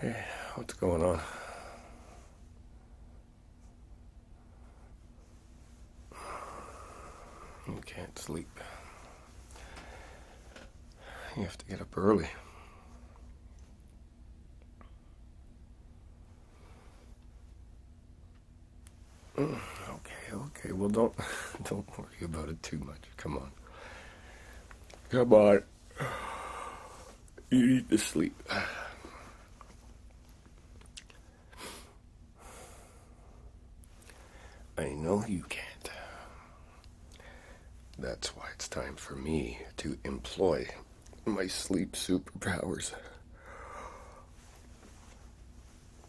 Hey, what's going on? You can't sleep. You have to get up early. Mm, okay, okay. Well, don't don't worry about it too much. Come on. Come on. You need to sleep. I know you can't. That's why it's time for me to employ my sleep superpowers.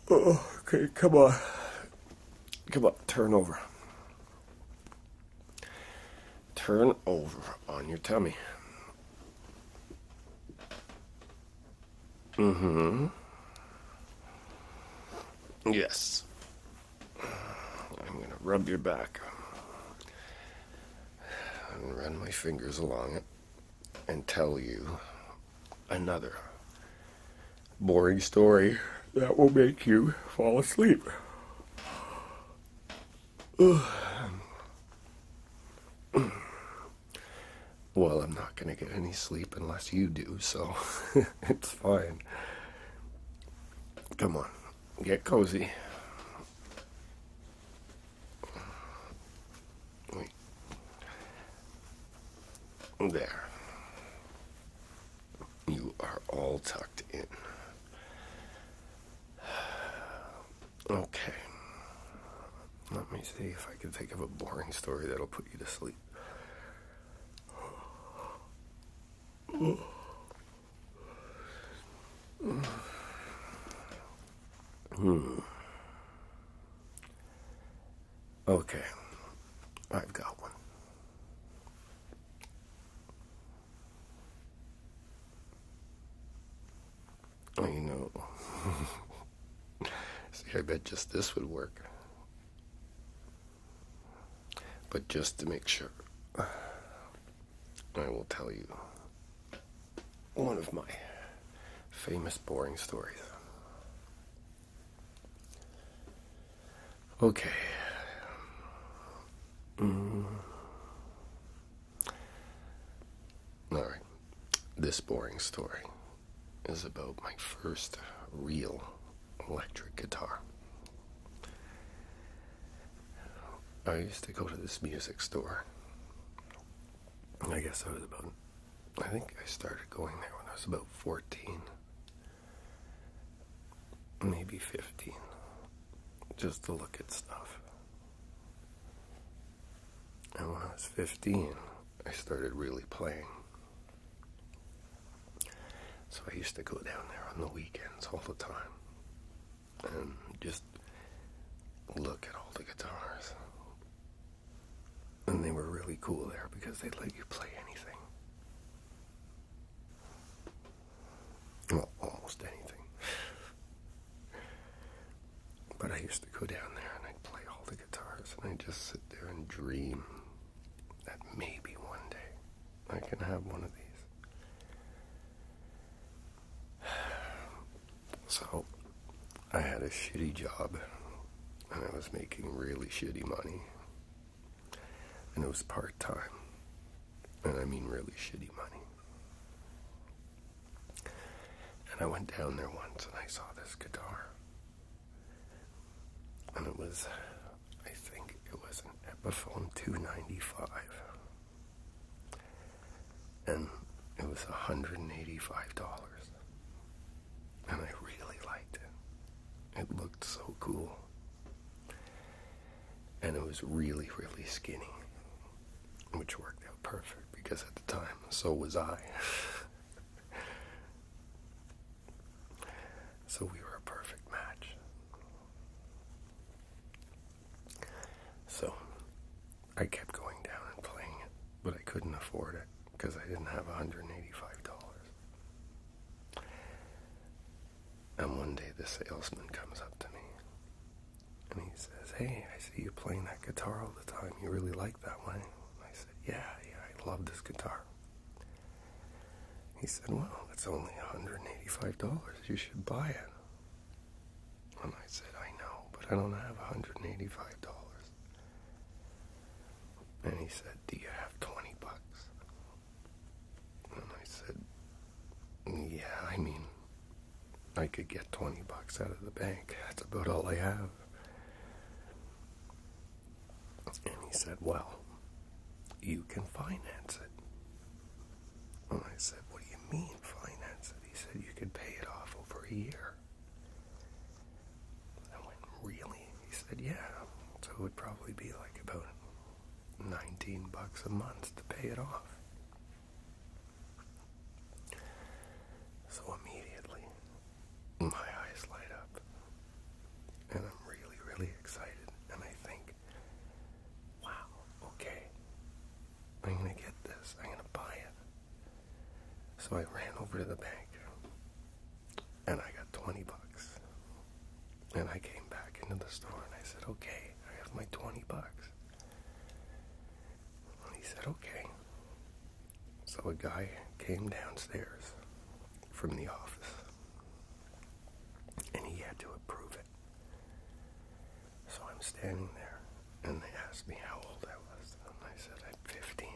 Oh, okay, come on. Come on, turn over. Turn over on your tummy. Mm hmm. Yes. I'm gonna rub your back and run my fingers along it and tell you another boring story that will make you fall asleep. well, I'm not going to get any sleep unless you do, so it's fine. Come on, get cozy. There. You are all tucked in. Okay. Let me see if I can think of a boring story that'll put you to sleep. Hmm. Okay. I've got one. Oh, you know. See, I bet just this would work. But just to make sure, I will tell you one of my famous boring stories. Okay. Mm. All right. This boring story is about my first real electric guitar. I used to go to this music store. I guess I was about, I think I started going there when I was about 14, maybe 15, just to look at stuff. And when I was 15, I started really playing. So I used to go down there on the weekends all the time and just look at all the guitars. And they were really cool there because they let you play anything. Well, almost anything. but I used to go down there and I'd play all the guitars and I'd just sit there and dream that maybe one day I can have one of these. So, I had a shitty job and I was making really shitty money. And it was part time. And I mean, really shitty money. And I went down there once and I saw this guitar. And it was I think it was an Epiphone 295. And it was $185. And I really liked it. It looked so cool. And it was really, really skinny. Which worked out perfect because at the time, so was I. so we were a perfect match. So I kept going down and playing it, but I couldn't afford it because I didn't have $185. And one day the salesman comes up to me and he says, Hey, I see you playing that guitar all the time. You really like that one? I said, Yeah, yeah, I love this guitar. He said, Well, it's only $185. You should buy it. And I said, I know, but I don't have $185. And he said, Do you have 20 bucks? And I said, Yeah, I mean, I could get 20 bucks out of the bank. That's about all I have. And he said, Well, you can finance it. I said, What do you mean finance it? He said, You could pay it off over a year. I went, Really? He said, Yeah. So it would probably be like about 19 bucks a month to pay it off. So immediately, my eyes light up, and I'm really, really excited. And I think wow, okay, I'm gonna get this, I'm gonna buy it. So I ran over to the bank and I got 20 bucks. And I came back into the store and I said, okay, I have my 20 bucks. he said, okay. So a guy came downstairs from the office and he had to approve it. So I'm standing there, and they asked me how old I was, and I said, I'm 15.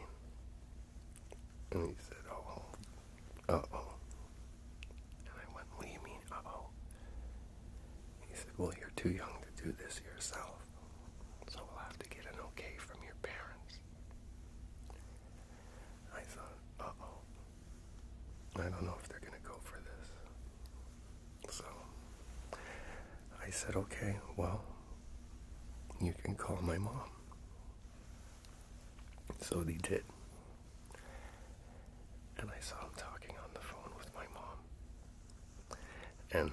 And he said, oh, uh-oh. And I went, what do you mean, uh-oh? He said, well, you're too young to do this yourself, so we'll have to get an okay from your parents. I thought, uh-oh. I don't know if they're going to go for this. So I said, okay, well, you can call my mom. So they did. And I saw him talking on the phone with my mom. And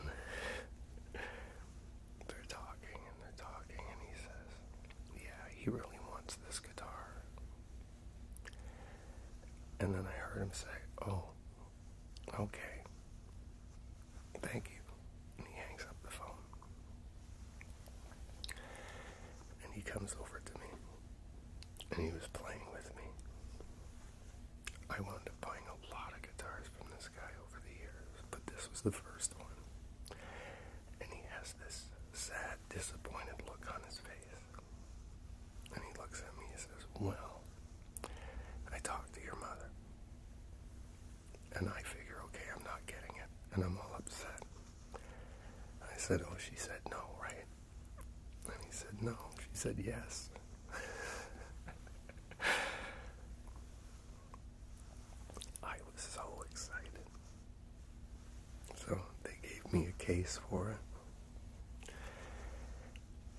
they're talking and they're talking, and he says, Yeah, he really wants this guitar. And then I heard him say, Oh, okay. Thank you. And he hangs up the phone. And he comes over to me. And he was playing with me. I wound up buying a lot of guitars from this guy over the years, but this was the first one. And he has this sad, disappointed look on his face. And he looks at me and says, Well, I talked to your mother. And I figure, okay, I'm not getting it. And I'm all upset. I said, Oh, she said no, right? And he said, No. She said, Yes. I was so excited. So they gave me a case for it.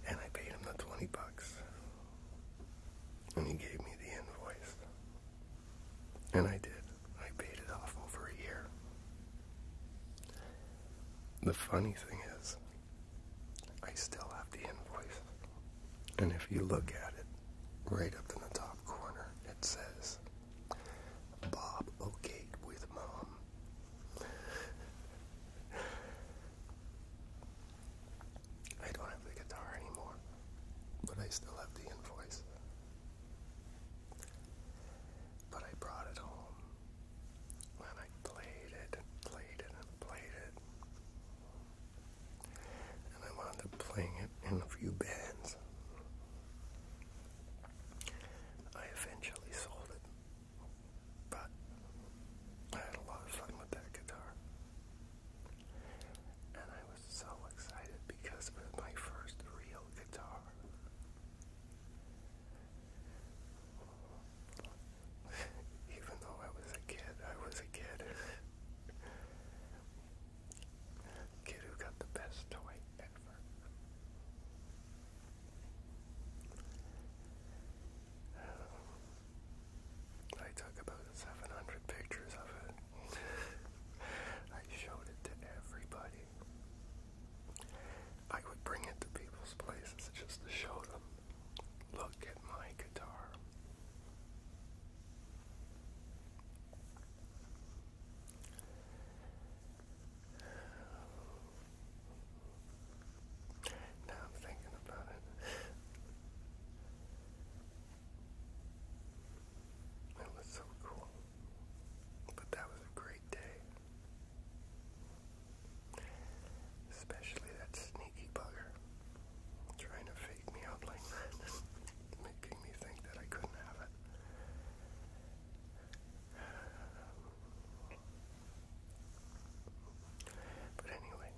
And I paid him the 20 bucks. And he gave me the invoice. And I did. I paid it off over a year. The funny thing is, I still have the invoice. And if you look at it, right up in the top corner, it says Bob okayed with mom. I don't have the guitar anymore, but I still have the invoice. But I brought it home and I played it played it and played it. And I wound up playing it in a few bands. I eventually sold it. But I had a lot of fun with that guitar. And I was so excited because it was my first real guitar. Even though I was a kid, I was a kid. kid who got the best toy. I took about 700 pictures of it. I showed it to everybody. I would bring it to people's places just to show them. Look at my guitar. Now I'm thinking about it. It was so cool. But that was a great day. Especially that sneaky bugger trying to fake me out like that, making me think that I couldn't have it. But anyway,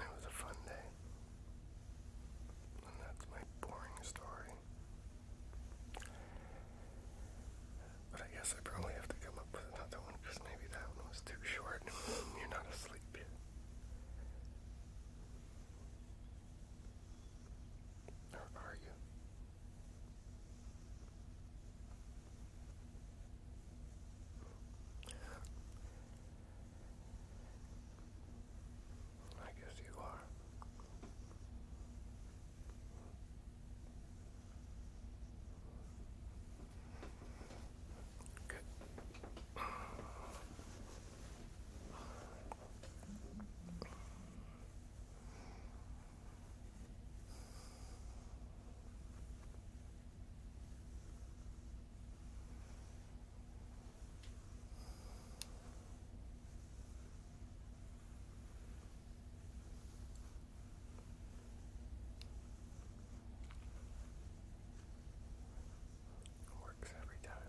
it was a fun day. And that's my boring story. But I guess I probably have to come up with another one because maybe that one was too short. You're not asleep are you? I guess you are. Good. Works every time.